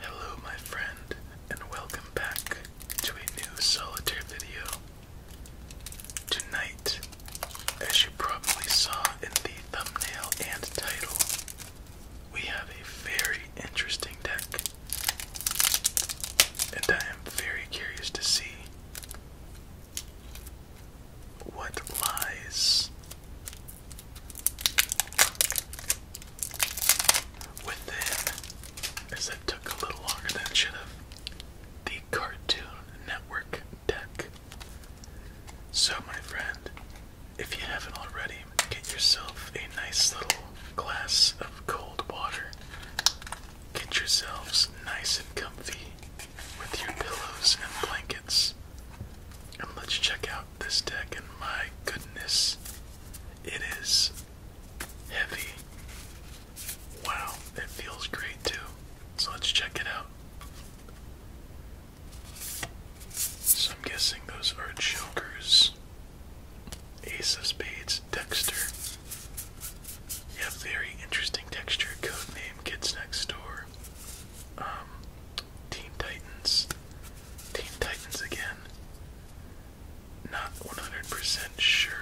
Hello, my friend, and welcome back to a new solitaire video. Tonight, as you probably saw in the thumbnail and title, we have a very interesting deck, and I am very curious to see what lies within, as it took a little longer than it should have, the Cartoon Network deck. So, my friend, if you haven't already, get yourself a nice little glass of cold water Get yourselves nice and comfy with your pillows and blankets. And let's check out this deck, and my goodness, it is heavy. Wow, it feels great too. So let's check it out. So I'm guessing those are jokers. Ace of Spades, Dexter, yeah, very interesting texture. Code name Kids Next Door. Um, Teen Titans. Teen Titans again. Not 100% sure.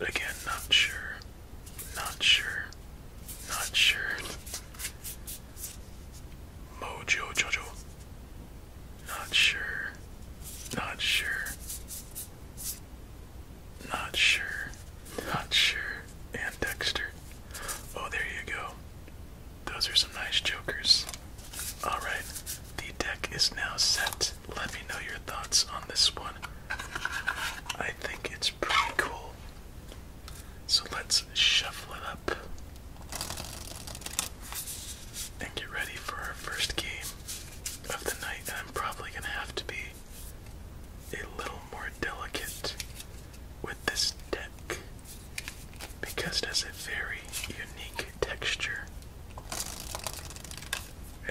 Again, not sure. Not sure. Not sure. Mojo Jojo. Not sure. Not sure. Not sure. Not sure. And Dexter. Oh, there you go. Those are some nice jokers. Alright, the deck is now set. Let me know your thoughts on this one. I think it's pretty cool. So let's shuffle it up and get ready for our first game of the night. I'm probably going to have to be a little more delicate with this deck because it has a very unique texture.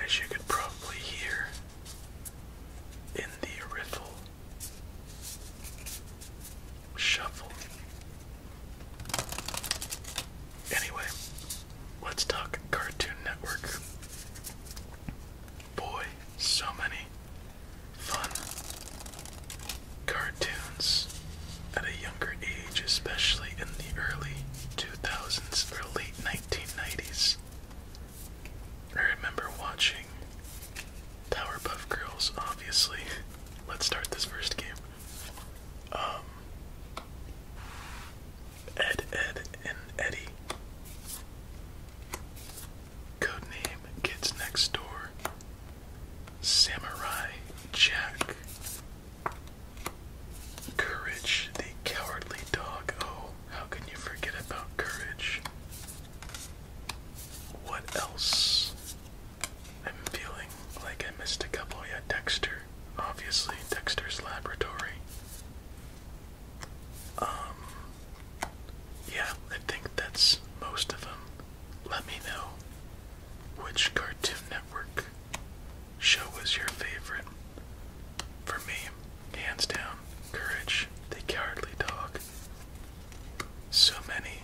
As you could probably hear in the riffle shuffle. Anyway, Let's talk Cartoon Network. Boy, so many fun cartoons at a younger age, especially in the early 2000s or late 1990s. I remember watching Powerpuff Girls, obviously. Let's start this first game. Um, Ed, Ed, and Eddie. Codename Kids Next Door. Samurai Jack. Courage the Cowardly Dog. Oh, how can you forget about Courage? What else? I'm feeling like I missed a couple. Yeah, Dexter. Obviously, Dexter's Laboratory. Um, yeah, I think that's most of them. Let me know which Cartoon Network show was your favorite. For me, hands down, Courage the Cowardly Dog. So many.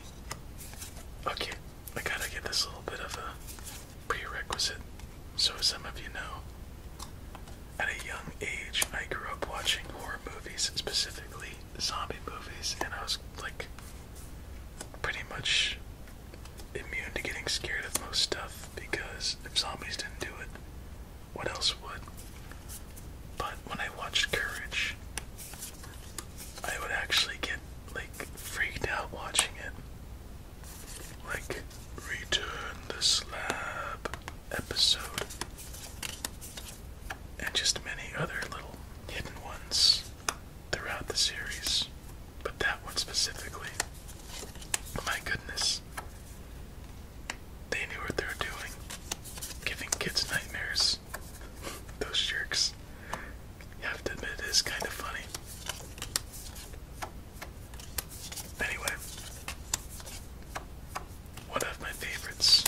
Okay, I gotta get this little bit of a prerequisite. So, some of you know, at a young age, I grew up watching horror movies, specifically zombie movies, and I was like pretty much immune to getting scared of most stuff because if zombies didn't do it, what else would? But when I watched Courage, I would actually get like freaked out watching it. Like, return the slab episode, and just many other little hidden ones throughout the series. But that one specifically, my goodness, they knew what they were doing, giving kids nightmares. Those jerks. You have to admit, it is kind of funny. Anyway, one of my favorites.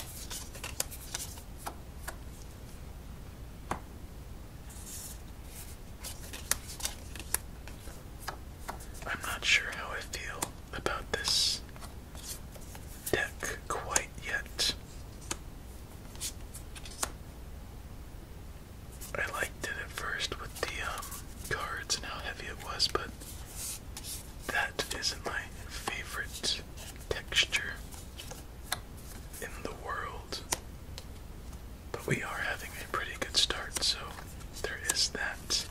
I'm not sure how I feel about this deck quite yet. I liked it at first with the um, cards and how heavy it was, but that is my favorite texture in the world. But we are having a pretty good start, so there is that.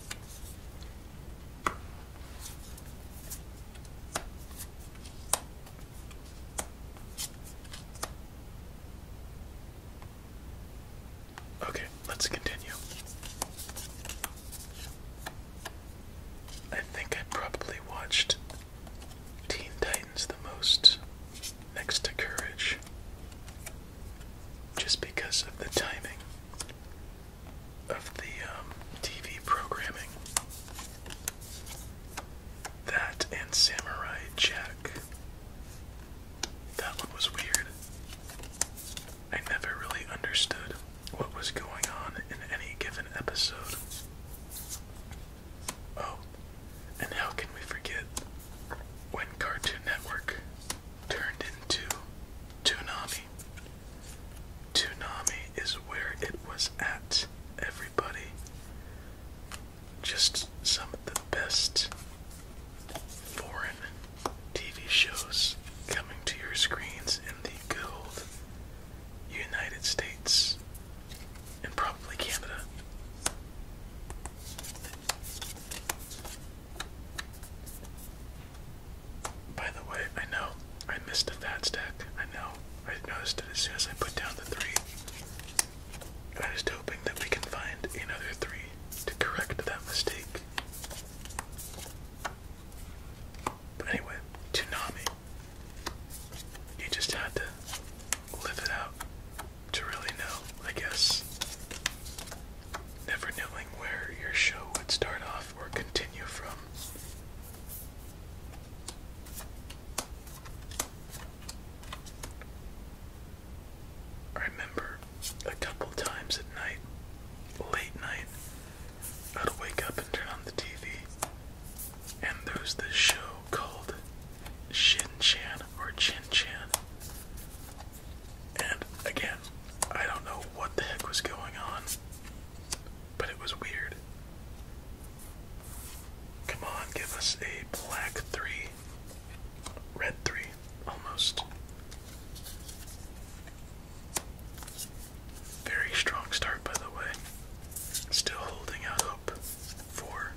Okay, let's continue. I think I probably watched Teen Titans the most, next to Courage, just because of the timing of the um, TV programming. That and Samurai Jack that one was weird. I never really understood what was going on in any given episode. Oh, and how can we forget when Cartoon Network turned into Toonami? Toonami is where it was at, everybody. Just some of the best foreign TV shows coming to your screens in the good United States and probably Canada. By the way, I know I missed a fat stack. I know. I noticed it as soon as I put down the three. I I'm just hoping that we can find another three to correct that mistake. But anyway, Toonami. You just had to live it out to really know, I guess. Never knowing where your show would start off or continue from. I remember a couple times at night, late night. I'd wake up and turn on the TV, and there's this show called Shin Chan or Chin Chan. And again, I don't know what the heck was going on, but it was weird. Come on, give us a black three, red three, almost. Very strong start, by the way. Still holding out hope for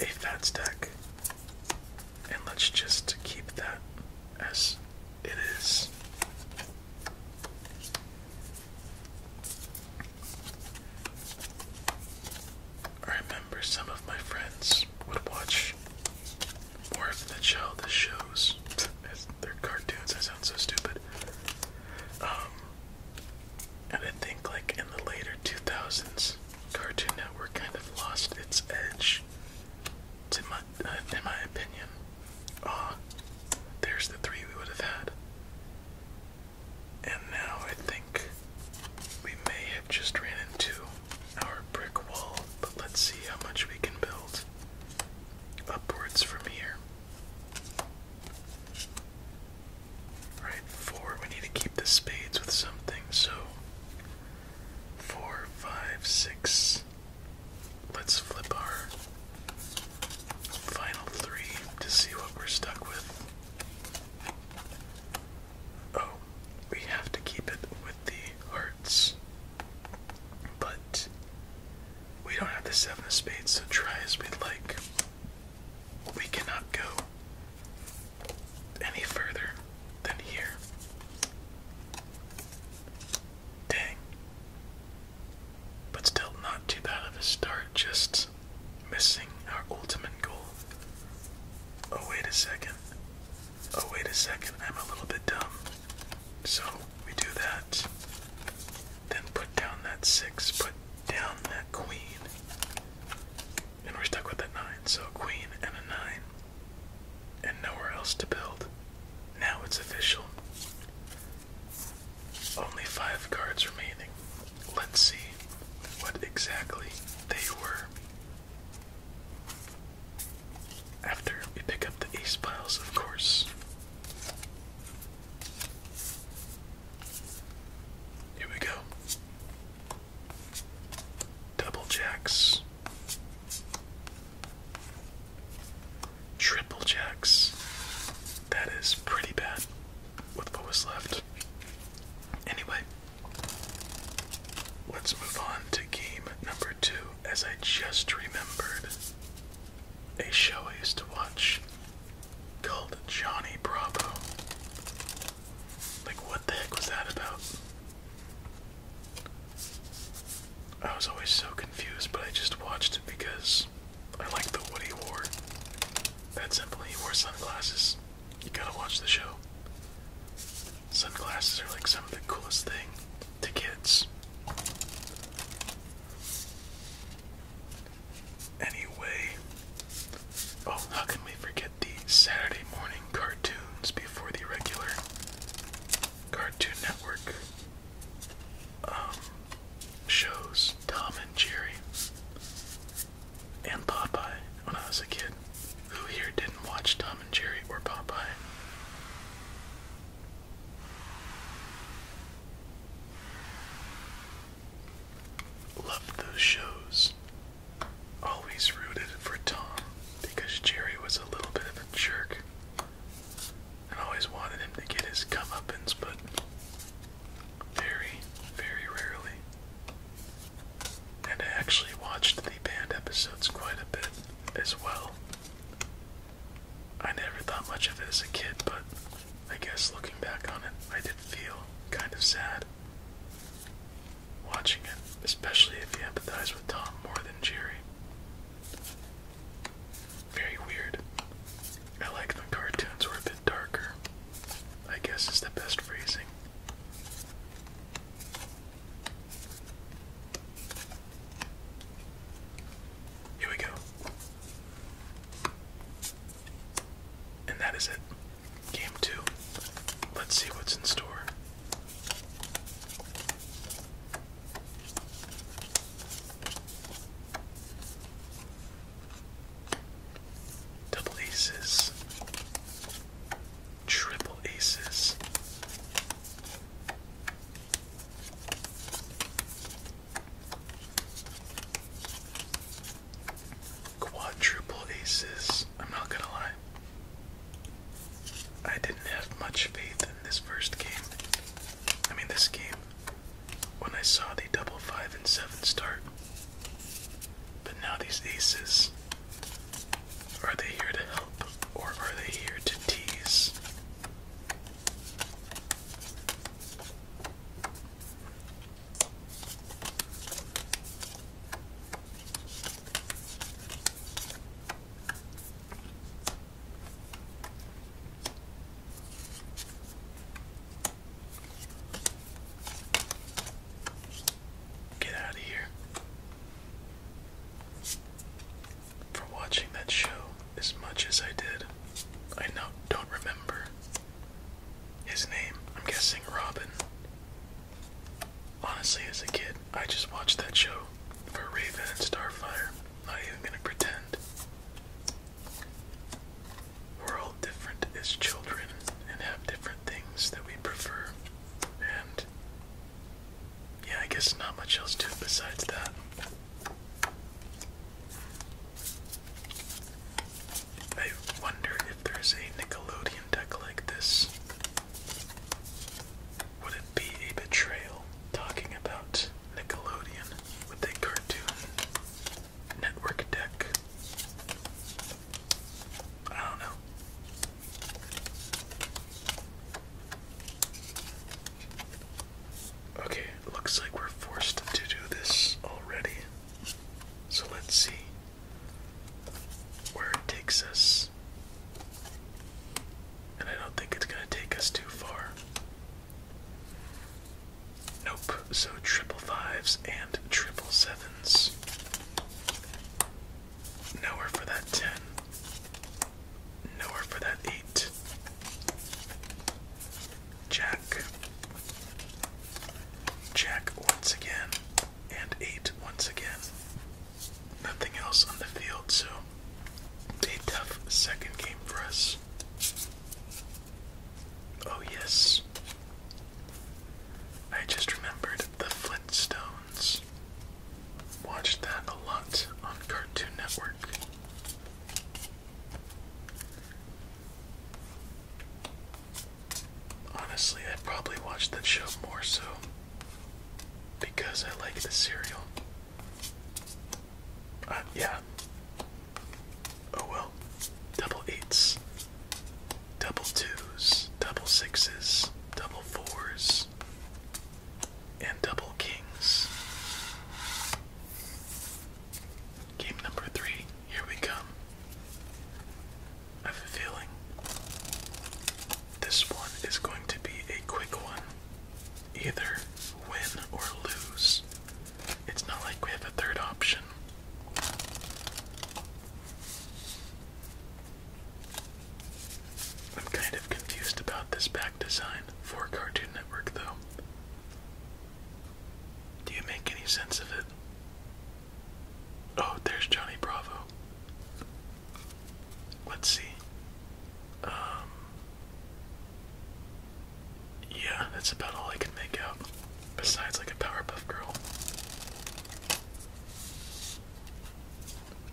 a fat stack. And let's just keep that as it is. I remember some of my friends would watch War of the Child, the shows. They're cartoons, I sound so stupid. Um, and I think, like, in the later 2000s, Cartoon Network kind of lost its edge, to my, uh, in my opinion. Ah, there's the three we would have had. And now I think we may have just ran into our brick wall, but let's see how much we can build upwards from here. Right, four. We need to keep the spades with something, so four, five, six. Let's flip our final three to see what we're stuck with. Oh, we have to keep it the hearts. But we don't have the seven of spades, so try as we'd like. We cannot go any further than here. Dang. But still not too bad of a start, just missing our ultimate goal. Oh, wait a second. Oh, wait a second. I'm a little bit dumb. So we do that. Then put down that six, put down that queen. And we're stuck with that nine. So a queen and a nine. And nowhere else to build. Now it's official. Only five cards remaining. Let's see what exactly they were. After we pick up the ace piles, of course. Here we go. Double jacks. Triple jacks. That is pretty bad with what was left. Anyway, Let's move on to game number two, as I just remembered a show I used to watch called Johnny Bravo. Like, what the heck was that about? I was always so confused, but I just watched it because I liked the what wore. That simple, he wore sunglasses. You gotta watch the show. Sunglasses are like some of the coolest thing to kids. Anyway, oh, how can we forget the Saturday morning cartoons before the regular Cartoon Network um, shows? Tom and Jerry and Popeye when I was a kid. Who here didn't watch Tom and Jerry or Popeye? Loved those shows. Always rooted for Tom because Jerry was a little bit of a jerk. I always wanted him to get his comeuppance, but very, very rarely. And I actually watched the band episodes quite a bit as well. I never thought much of it as a kid, but I guess looking back on it, I did feel kind of sad watching it, especially if you empathize with Tom more than Jerry. Very weird. I like when cartoons were a bit darker. I guess is the best phrasing. Here we go. And that is it. Game two. Let's see what's in store. Double aces, triple aces, Quadruple aces. I'm not gonna lie. I didn't have much faith in this first game. I mean, this game. When I saw the double five and seven start. But now these aces. Are they here to help or are they here to tease? Get out of here for watching that show as much as I did. I no, don't remember his name. I'm guessing Robin. Honestly, as a kid, I just watched that show for Raven and Starfire. Not even gonna pretend. We're all different as children and have different things that we prefer. And yeah, I guess not much else to it besides that. I wonder if there's a Nickelodeon deck like this. Would it be a betrayal talking about Nickelodeon with a Cartoon Network deck? I don't know. Okay, looks like we're forced to do this already. So let's see where it takes us. And I don't think it's going to take us too far. Nope, so triple fives and triple sevens. Nowhere for that ten. Nowhere for that eight. Jack. Jack once again. And eight once again. Nothing else on the field, so a tough second game for us. Oh, yes. I just remembered the Flintstones watched that a lot on Cartoon Network. Honestly, I probably watched that show more so because I like the cereal. Uh, yeah. Oh well. Double eights, double twos, double sixes, double fours and double kings. Game number three, here we come. I have a feeling this one is going to be a quick one. Either win or lose. It's not like we have a third option. I'm kind of confused about this back design for Cartoon Network, though. Do you make any sense of it? Oh, there's Johnny Bravo. Let's see. Um, yeah, that's about all I can make out. Besides, like a Powerpuff Girl.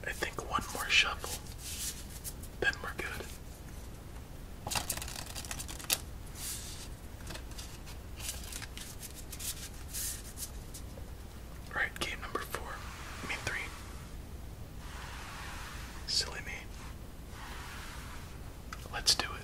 I think one more shuffle, then we're good. Alright, game number four. mean three. Silly me. Let's do it.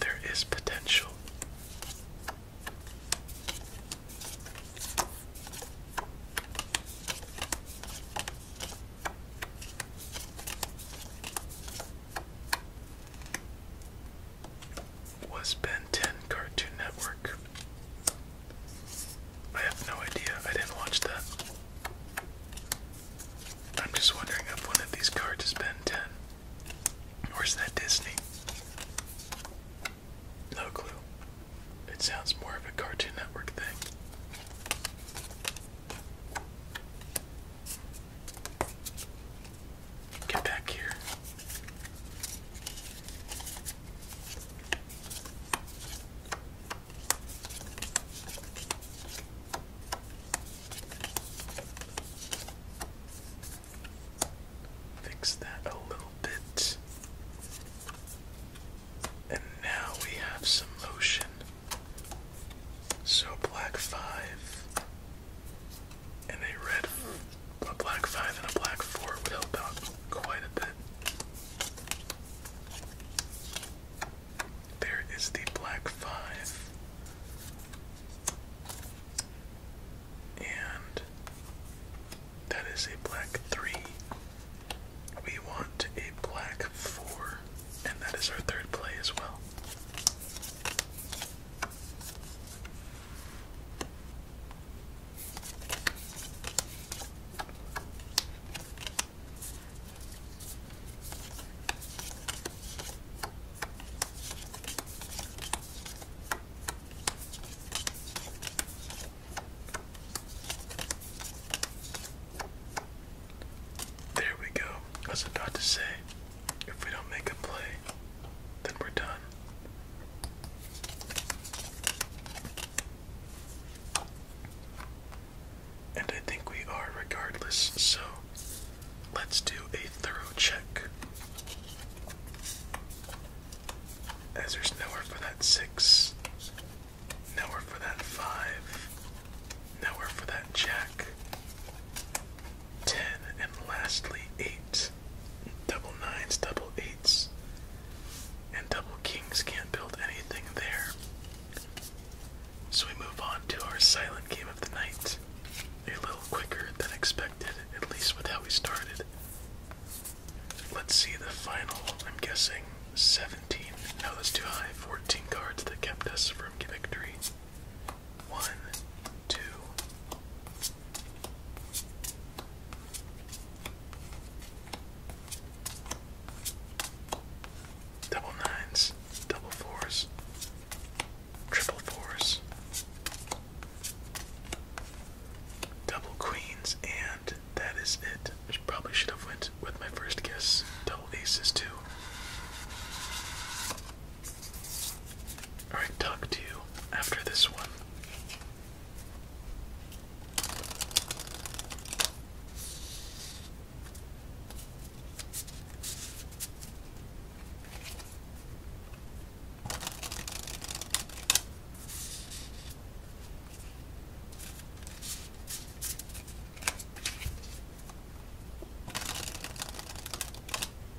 There is potential was Ben 10 Cartoon Network? I have no idea. I didn't watch that. I'm just wondering if one of these cards is Ben 10. Where's that Disney? No clue. It sounds more of a Cartoon Network thing. Get back here. Fix that a little bit. And now we have some motion. So, black five and a red, a black 5 and a black 4 would help out quite a bit. There is the black 5. And that is a black 3. We want a black 4, and that is our third play as well. There we go. I was about to say if we don't make a play, then we're done. And I think we are regardless, so let's do a thorough check. As there's nowhere for that six, nowhere for that five, nowhere for that jack, 10, and lastly 8. Double nines, double eights, and double kings can't build anything there. So we move on to our silent game of the night. A little quicker than expected, at least with how we started. Let's see the final, I'm guessing 17. No, that's too high. 14 cards that kept us from victory. One, two. Double nines, double fours, triple fours, double queens, and that is it. I probably should have went with my first guess. Double aces too. I'll talk to you after this one.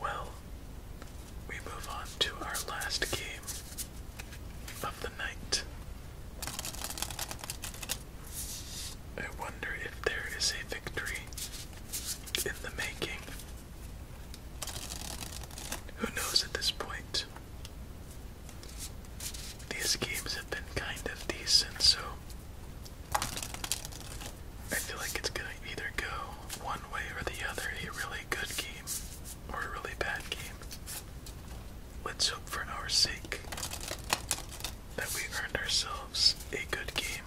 Well, we move on to our last game of the night. I wonder if there is a victory in the making. Who knows at this point? These games have been kind of decent, so I feel like it's gonna either go one way or the other a really good game or a really bad game. Let's hope for our sake that we earned ourselves a good game.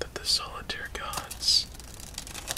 That the solitaire gods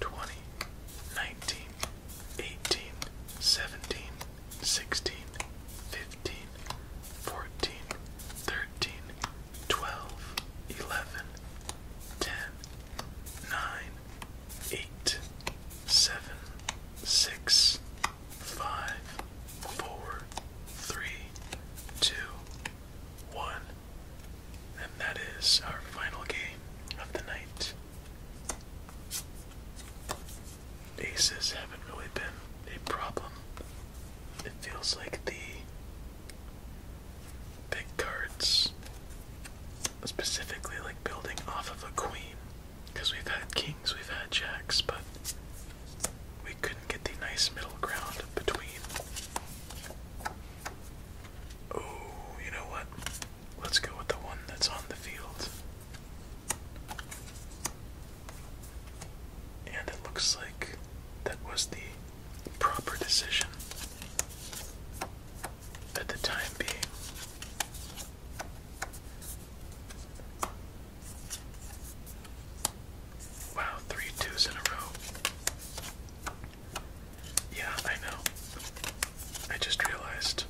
20, 19, 18, 17, 16, 15, 14, 13, 12, 11, 10, 9, 8, 7, 6, 5, 4, 3, 2, 1. And that is our final game of the night. Aces haven't really been a problem. It feels like the big cards, specifically like building off of a queen, because we've had kings, we've had jacks, but we couldn't get the nice middle ground between. Oh, you know what? Let's go with the one that's on the field. And it looks like that was the proper decision at the time being. Wow, three twos in a row. Yeah, I know. I just realized.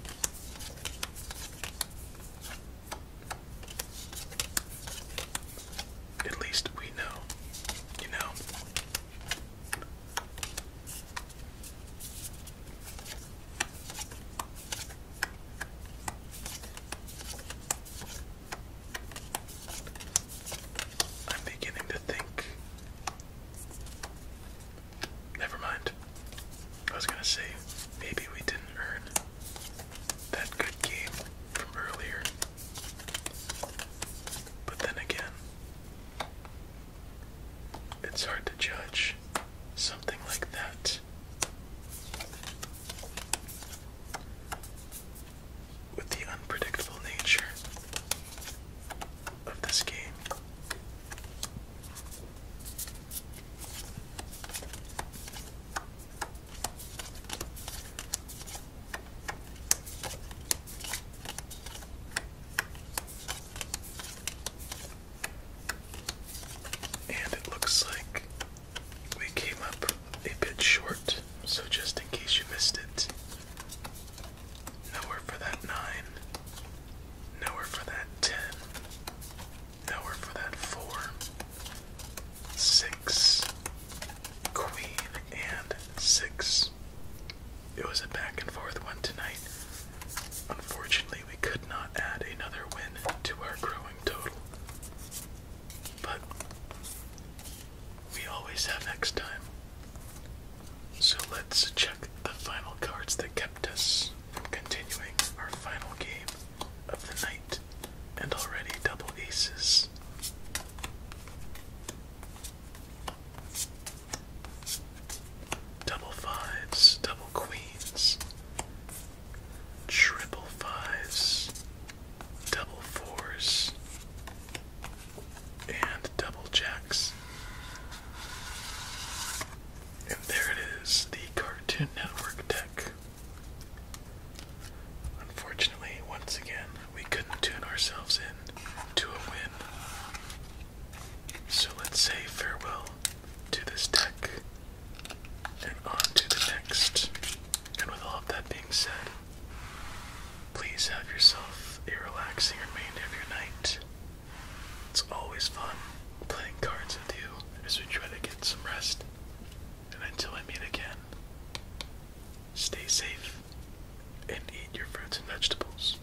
At least we know, you know. I'm beginning to think Never mind. I was gonna say, maybe we didn't earn that good game from earlier. But then again, it's hard to judge something like that with the unpredictable nature of this game. And it looks like we came up a bit short, so just in case you missed it, Nowhere for that 9. Nowhere for that 10. Nowhere for that 4. 6. Queen and 6. It was a back and forth one tonight. Unfortunately, we could not add another win to our growing total. But we always have next time. So let's check the final cards that kept us from continuing our final game of the night. And already double aces. Double fives, double queens, triple fives, double fours, and double jacks. And there it is, the Cartoon Network deck. Unfortunately, once again, we couldn't tune ourselves in to a win. So let's say farewell to this deck and on to the next. And with all of that being said, please have yourself a relaxing remainder of your night. It's always fun playing cards with you as we try to get some rest. And until we meet again, stay safe and eat your fruits and vegetables.